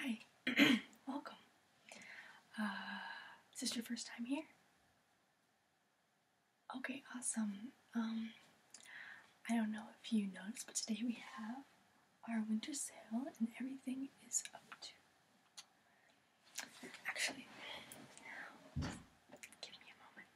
Hi, welcome. Uh, is this your first time here? Okay, awesome. Um, I don't know if you noticed, but today we have our winter sale and everything is up to. Actually, give me a moment.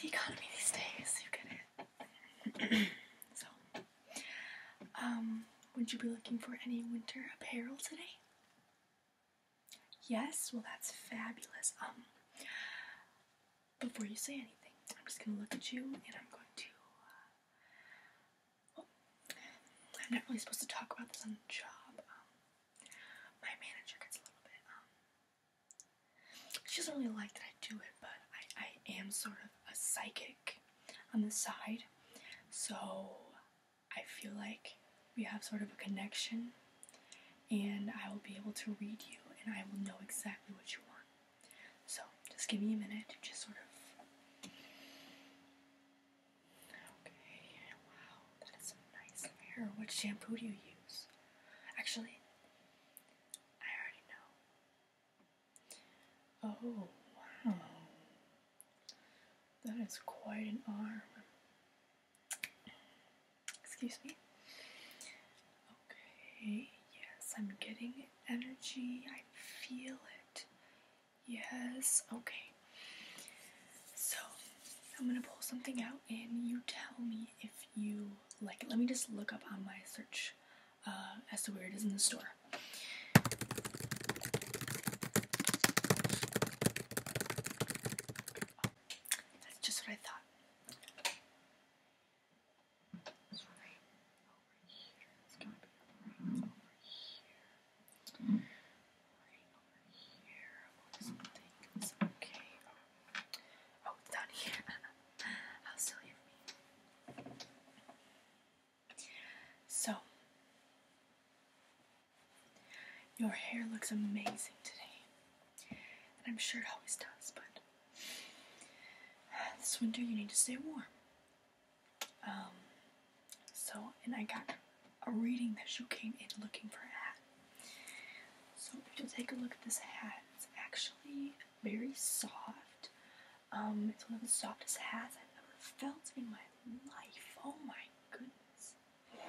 The economy these days, you get it. so, um, would you be looking for any winter apparel today? Yes, well, that's fabulous. Um, before you say anything, I'm just gonna look at you and I'm going to uh, I'm not really supposed to talk about this on the job. Um, my manager gets a little bit, um, she doesn't really like that I do it, but I, am sort of a psychic on the side, so I feel like we have sort of a connection, and I will be able to read you, and I will know exactly what you want. So, just give me a minute to just sort of Okay, wow, that is some nice hair. What shampoo do you use? Actually, I already know. Oh, wow. That is quite an arm. Excuse me. Okay, yes, I'm getting energy. I feel it. Yes, okay. So, I'm gonna pull something out and you tell me if you like it. Let me just look up on my search uh, as to where it is in the store. that's just what I thought. It's going to be right over here. Right over here. Looks like it's okay. Oh, it's down here. How silly of me. So, your hair looks amazing today. And I'm sure it always does, but this winter you need to stay warm. Um, so, and I got a reading that you came in looking for a hat. So, if you take a look at this hat, it's actually very soft. Um, it's one of the softest hats I've ever felt in my life. Oh my goodness.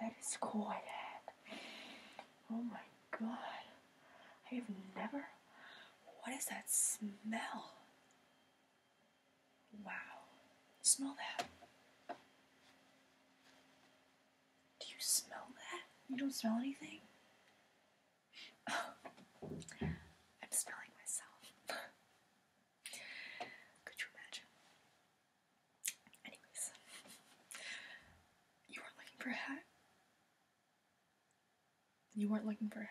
That is cool, a Oh my god. I have never. What is that smell? Wow. Smell that. Do you smell that? You don't smell anything? I'm smelling myself. Could you imagine? Anyways, you are looking for a hat? You weren't looking for a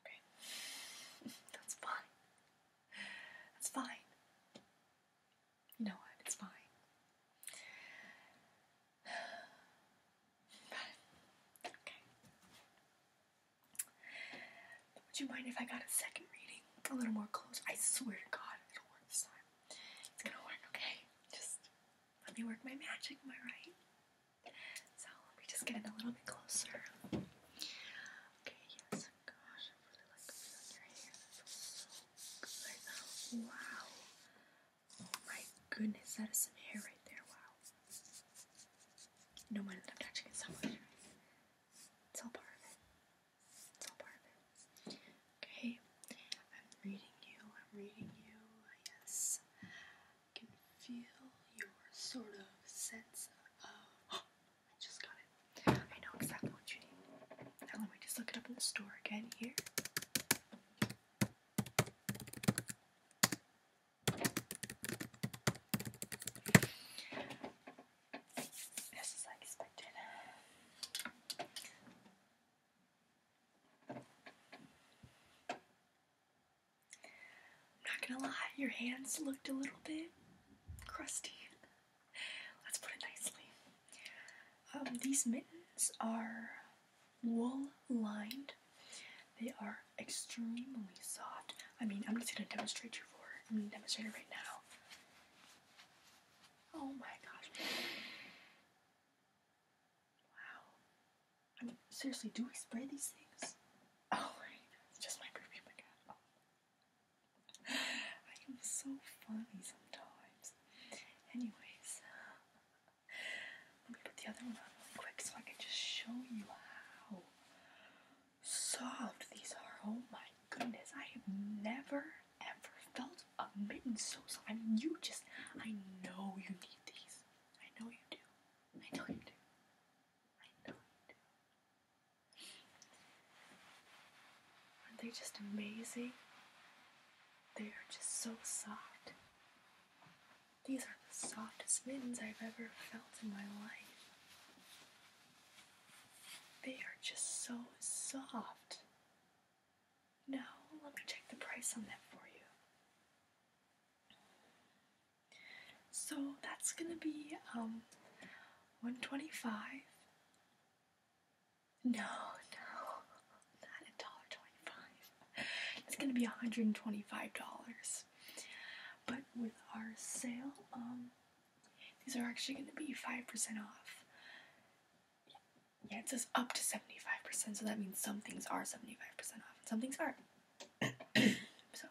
Okay. That's fine. That's fine. You know what? It's fine. But, okay. Would you mind if I got a second reading? A little more close. I swear to God, it'll work this time. It's gonna work, okay? Just let me work my magic, am I right? So let me just get in a little bit closer. Okay, yes, gosh, I really like the hair. That feels so good. Wow. Oh my goodness, that is some hair right there, wow. No mind that I'm touching it so much. It's all part of it. Okay, I'm reading you, I'm reading you, yes. I can feel your sort of sense of. Oh, I just got it. I know exactly what you need. Now let me just look it up in the store again here. This is like expected not gonna lie, your hands looked a little bit crusty. Let's put it nicely. Um, these mittens are wool lined. They are extremely soft. I mean, I'm just gonna demonstrate you for it. I'm gonna demonstrate it right now. Oh my gosh. Wow. seriously, do we spray these things? Oh, It's just my perfume again. I am so funny sometimes. Anyways, let me put the other one on quick so I can just show you how soft these are. Oh my goodness, I have never ever felt a mitten so soft. I mean, you just, I know you need these. I know you do. I know you do. I know you do. Aren't they just amazing? They are just so soft. These are the softest mittens I've ever felt in my life. They are just so soft. No, let me check the price on that for you. So that's gonna be um 125. No, no, not a dollar twenty-five. It's gonna be $125. But with our sale, um these are actually gonna be 5% off. Yeah, it says up to 75%, so that means some things are 75% off and some things aren't. so,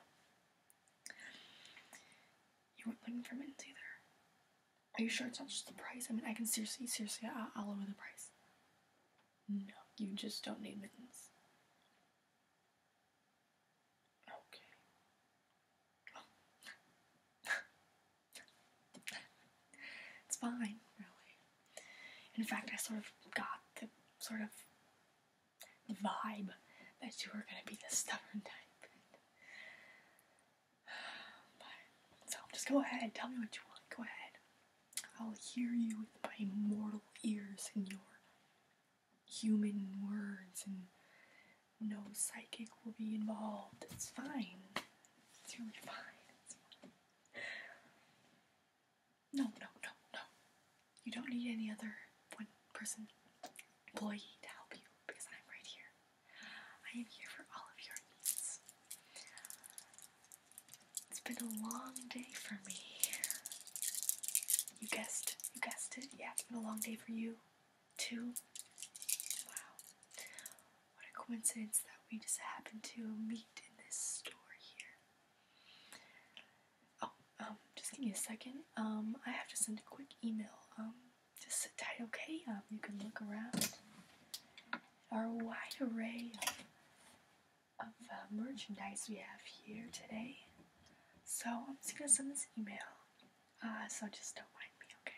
you weren't looking for mittens either. Are you sure it's not just the price? I mean, I can seriously, seriously, I- will lower the price. No, you just don't need mittens. Okay. it's fine, really. In fact, I sort of got the sort of vibe that you were gonna be the stubborn type. But, so just go ahead, tell me what you want. Go ahead. I'll hear you with my mortal ears and your human words, and no psychic will be involved. It's fine. It's really fine. No, no, no, no. You don't need any other one person employee to help you because I'm right here. I am here for all of your needs. It's been a long day for me. You guessed, you guessed it. Yeah, it's been a long day for you. Two. Wow. What a coincidence that we just happen to meet in this store here. Oh, um, just give me a second. Um, I have to send a quick email. Um, just sit tight, okay? Um, you can look around our wide array of, uh, merchandise we have here today. So I'm just gonna send this email. Uh, so just don't mind me, okay?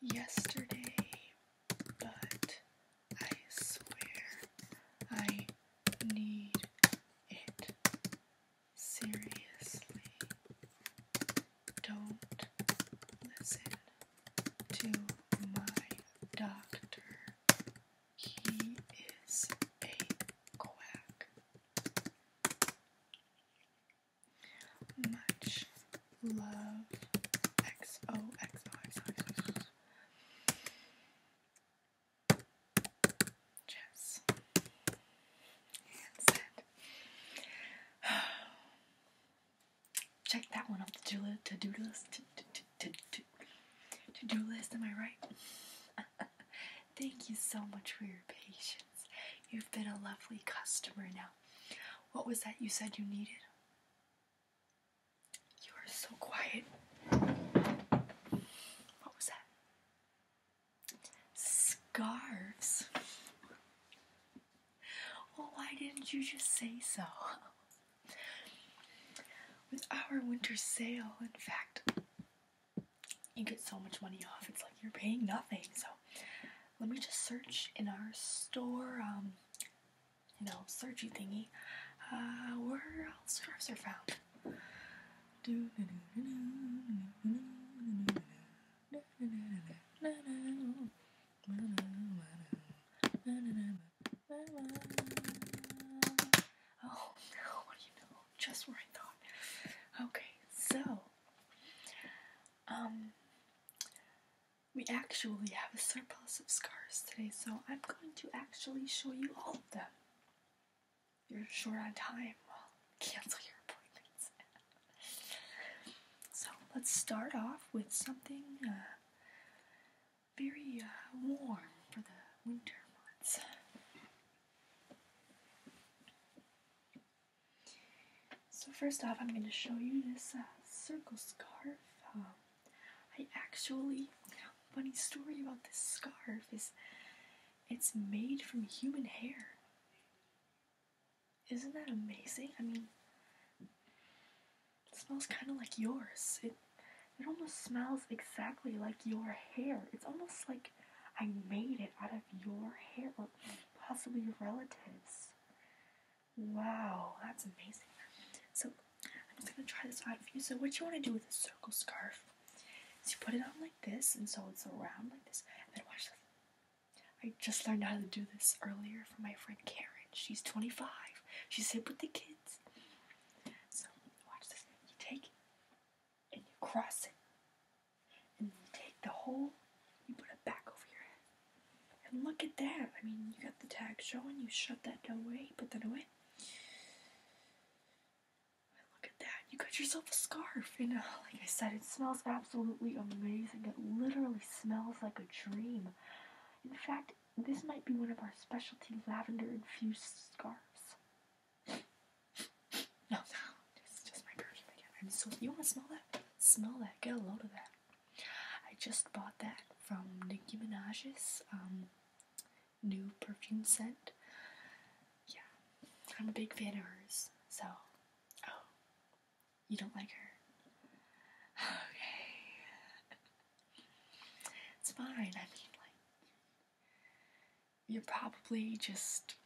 yesterday, but I swear I need it seriously. Don't listen to my doctor. He is a quack. Much love. XOXO. Jess. And said. Check that one off the to-do list. To-do list. Am I right? Thank you so much for your patience. You've been a lovely customer now. What was that you said you needed? You are so quiet. What was that? Scarves. Well, why didn't you just say so? With our winter sale, in fact, you get so much money off. It's like you're paying nothing. So let me just search in our store, um, you know, searchy thingy. Uh, where else scarves are found? Oh no, what do you know? Just where I thought. Okay, so um, we actually have a surplus of scarves today, so I'm going to actually show you all of them. You're short on time. Well, cancel your appointments. so let's start off with something uh, very uh, warm for the winter months. So first off, I'm going to show you this uh, circle scarf. Um, I actually, funny story about this scarf is it's made from human hair. Isn't that amazing? I mean, it smells kind of like yours. It it almost smells exactly like your hair. It's almost like I made it out of your hair or possibly your relatives. Wow, that's amazing. So I'm just gonna try this out for you. So what you want to do with a circle scarf is you put it on like this, and so it's around like this. And then watch this. I just learned how to do this earlier for my friend Karen. She's 25. She's hip with the kids. So watch this. You take it and you cross it and you take the hole, you put it back over your head. And look at that. I mean, you got the tag showing, you shut that away, put that away. look at that. You got yourself a scarf. And uh, like I said, it smells absolutely amazing. It literally smells like a dream. In fact, this might be one of our specialty lavender infused scarves. No, no, it's just my perfume again. I'm so. You wanna smell that? Smell that. Get a load of that. I just bought that from Nicki Minaj's um, new perfume scent. Yeah, I'm a big fan of hers. So, oh, you don't like her? Okay, it's fine. I mean, like, you're probably just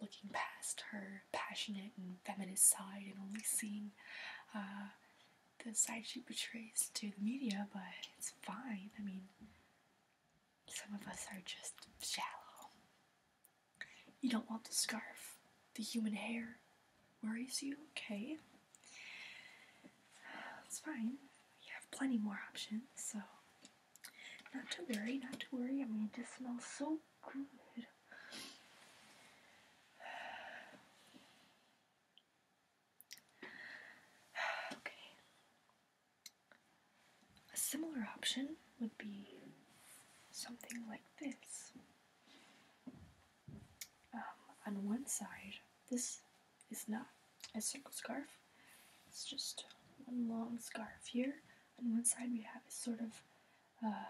looking past her passionate and feminist side and only seeing uh, the side she portrays to the media, but it's fine. I mean, some of us are just shallow. You don't want the scarf, the human hair worries you, okay? It's fine. You have plenty more options, so not to worry, not to worry. I mean, it just smells so good. okay. A similar option would be something like this. Um, on one side, this is not a circle scarf, it's just one long scarf here, on one side we have a sort of, uh,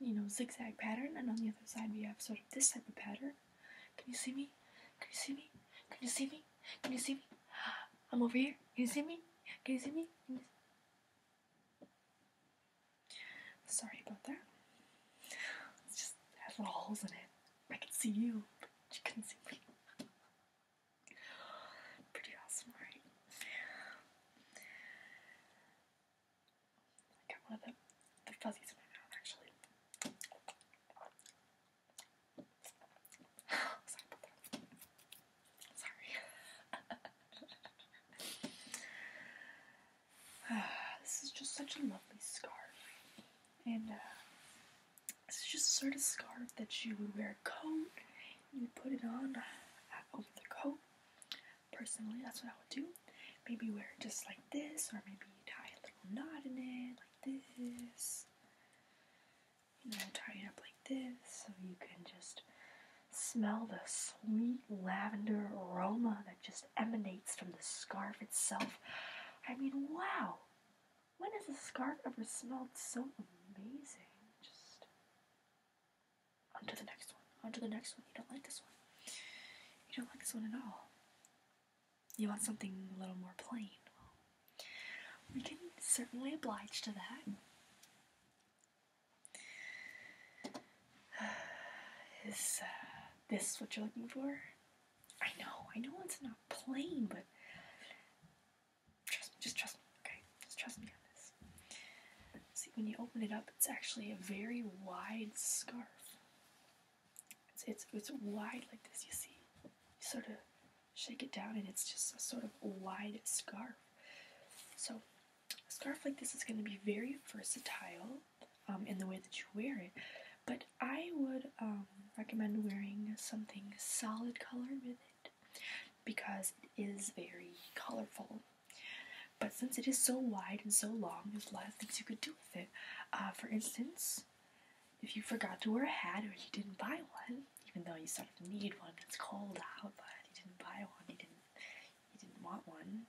you know, zigzag pattern, and on the other side we have sort of this type of pattern. Can you see me? Can you see me? Can you see me? Can you see me? I'm over here. Can you see me? Can you see me? Sorry about that. It just had little holes in it. I can see you, but you couldn't see me. Pretty awesome, right? I got one of the, the fuzzies in my mouth, actually. Sorry. this is just such a lovely scarf. And, uh, this is just sort of scarf that you would wear a coat you put it on uh, over the coat. Personally, that's what I would do. Maybe wear it just like this, or maybe tie a little knot in it like this. You know, tie it up like this so you can just smell the sweet lavender aroma that just emanates from the scarf itself. I mean, wow! When has a scarf ever smelled so amazing? Just onto the next one. Onto the next one. You don't like this one. You don't like this one at all. You want something a little more plain. We can certainly oblige to that. Is uh, this what you're looking for? I know, I know it's not plain, but Trust me, just trust me, okay? Just trust me on this. See, when you open it up, it's actually a very wide scarf. It's it's wide like this. You see, sort of shake it down, and it's just a sort of wide scarf. So, a scarf like this is going to be very versatile um, in the way that you wear it. But I would um, recommend wearing something solid color with it because it is very colorful. But since it is so wide and so long, there's a lot of things you could do with it. Uh, for instance, if you forgot to wear a hat or you didn't buy one, even though you sort of need one, it's cold out, but you didn't buy one, you didn't, you didn't want one,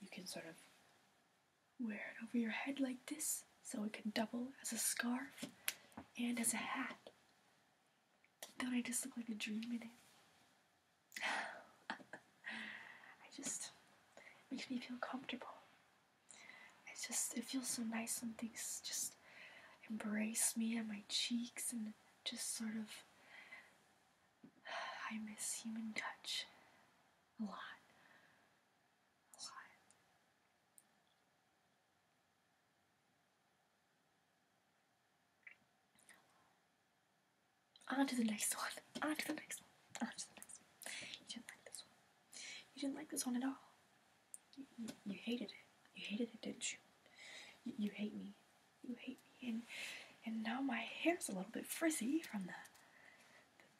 you can sort of wear it over your head like this, so it can double as a scarf and as a hat. Don't I just look like a dream in it? I just makes me feel comfortable. It's just it feels so nice when things just embrace me and my cheeks and just sort of I miss human touch a lot. A lot. On to the next one. On to the next one. On to the next one. You didn't like this one. You didn't like this one at all. You, you, hated it. You hated it, didn't you? you? You hate me. You hate me. And and now my hair's a little bit frizzy from the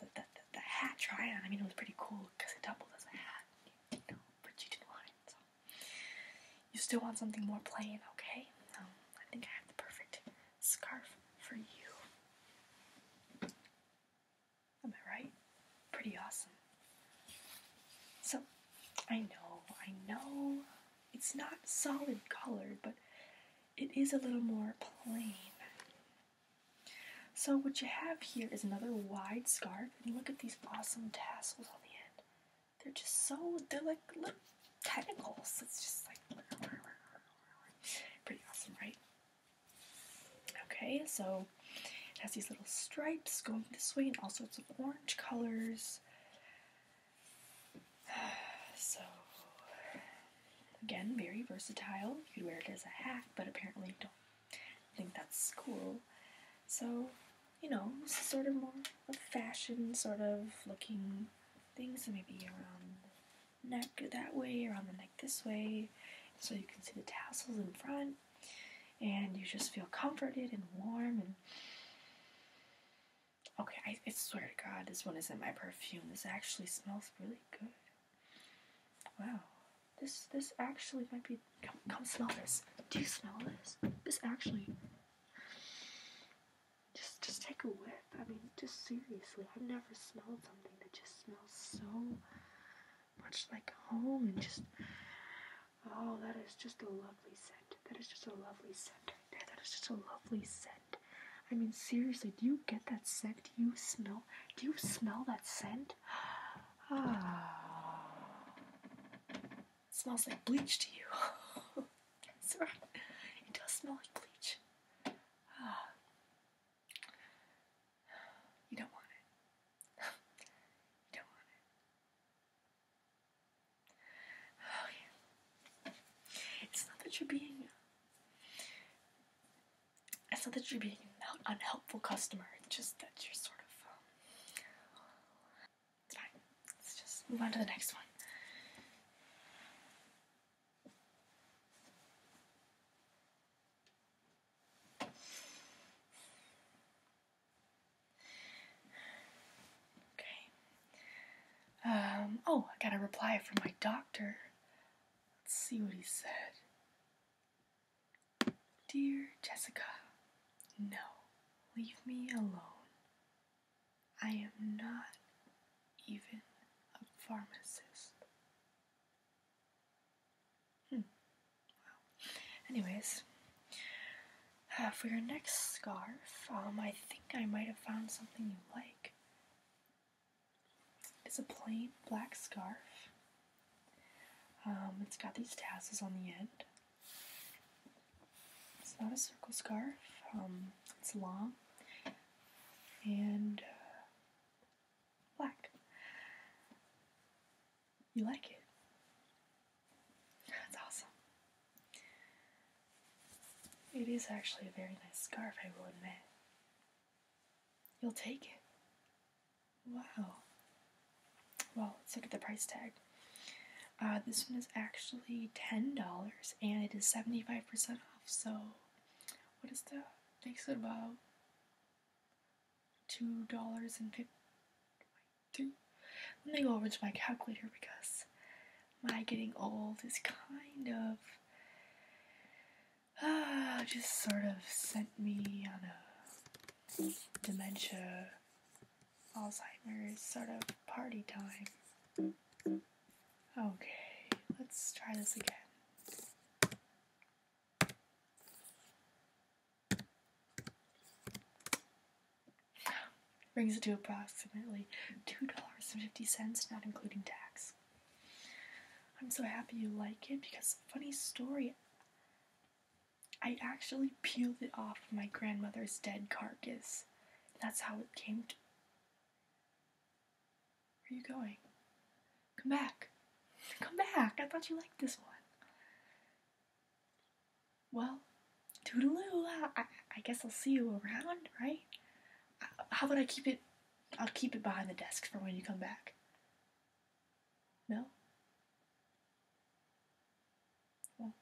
the, the, the, hat try on. I mean, it was pretty cool because it doubled as a hat. You but you didn't want it, you still want something more plain, okay? Um, I think I have the perfect scarf for you. Am I right? Pretty awesome. So, I know, I know it's not solid colored, but it is a little more plain. So, what you have here is another wide scarf and look at these awesome tassels on the end. They're just so, they're like little tentacles. It's just like pretty awesome, right? Okay, so it has these little stripes going this way and all sorts of orange colors. So, again, very versatile. You would wear it as a hat, but apparently don't I think that's cool. So, you know, sort of more of fashion sort of looking thing. So maybe around the neck that way, around the neck this way, so you can see the tassels in front, and you just feel comforted and warm and. Okay, I swear to God, this one isn't my perfume. This actually smells really good. Wow. This this actually might be. Come smell this. Do you smell this? This actually. Just just take a whiff. I mean, just seriously, I've never smelled something that just smells so much like home and just. Oh, that is just a lovely scent. That is just a lovely scent That is just a lovely scent. I mean, seriously, do you get that scent? Do you smell? Do you smell that scent? Ah. It smells like bleach to you. That's It does smell like bleach. Ah. You don't want it. you don't want it. Oh, yeah. It's not that you're being. It's not that you're being an unhelpful customer. just that you're sort of um, Right, let's just move on to the next one. Okay. Um, oh, I got a reply from my doctor. Let's see what he said. Dear Jessica, no, leave me alone. I am not even a pharmacist. Hmm. Wow. Anyways, uh, for your next scarf, um, I think I might have found something you like. It's a plain black scarf um, it's got these tassels on the end. It's not a circle scarf. Um, it's long and uh, black. You like it? That's awesome. It is actually a very nice scarf, I will admit. You'll take it. Wow. Well, let's look at the price tag. Uh, this one is actually $10 and it is 75% off. So, what is that? Makes it about $2.50. Let me go over to my calculator because my getting old is kind of uh, just sort of sent me on a dementia, Alzheimer's sort of party time. Okay, let's try this again. Brings it to approximately $2.50, not including tax. I'm so happy you like it because, funny story, I actually peeled it off my grandmother's dead carcass. That's how it came to. Where are you going? Come back. Come back. I thought you liked this one. Well, toodaloo. I, I guess I'll see you around, right? Uh, how about I keep it? I'll keep it behind the desk for when you come back. No? Well.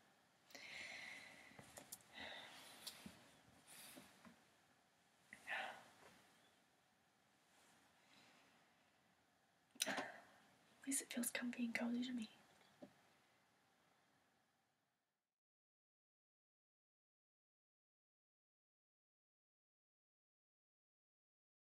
At least it feels comfy and cozy to me.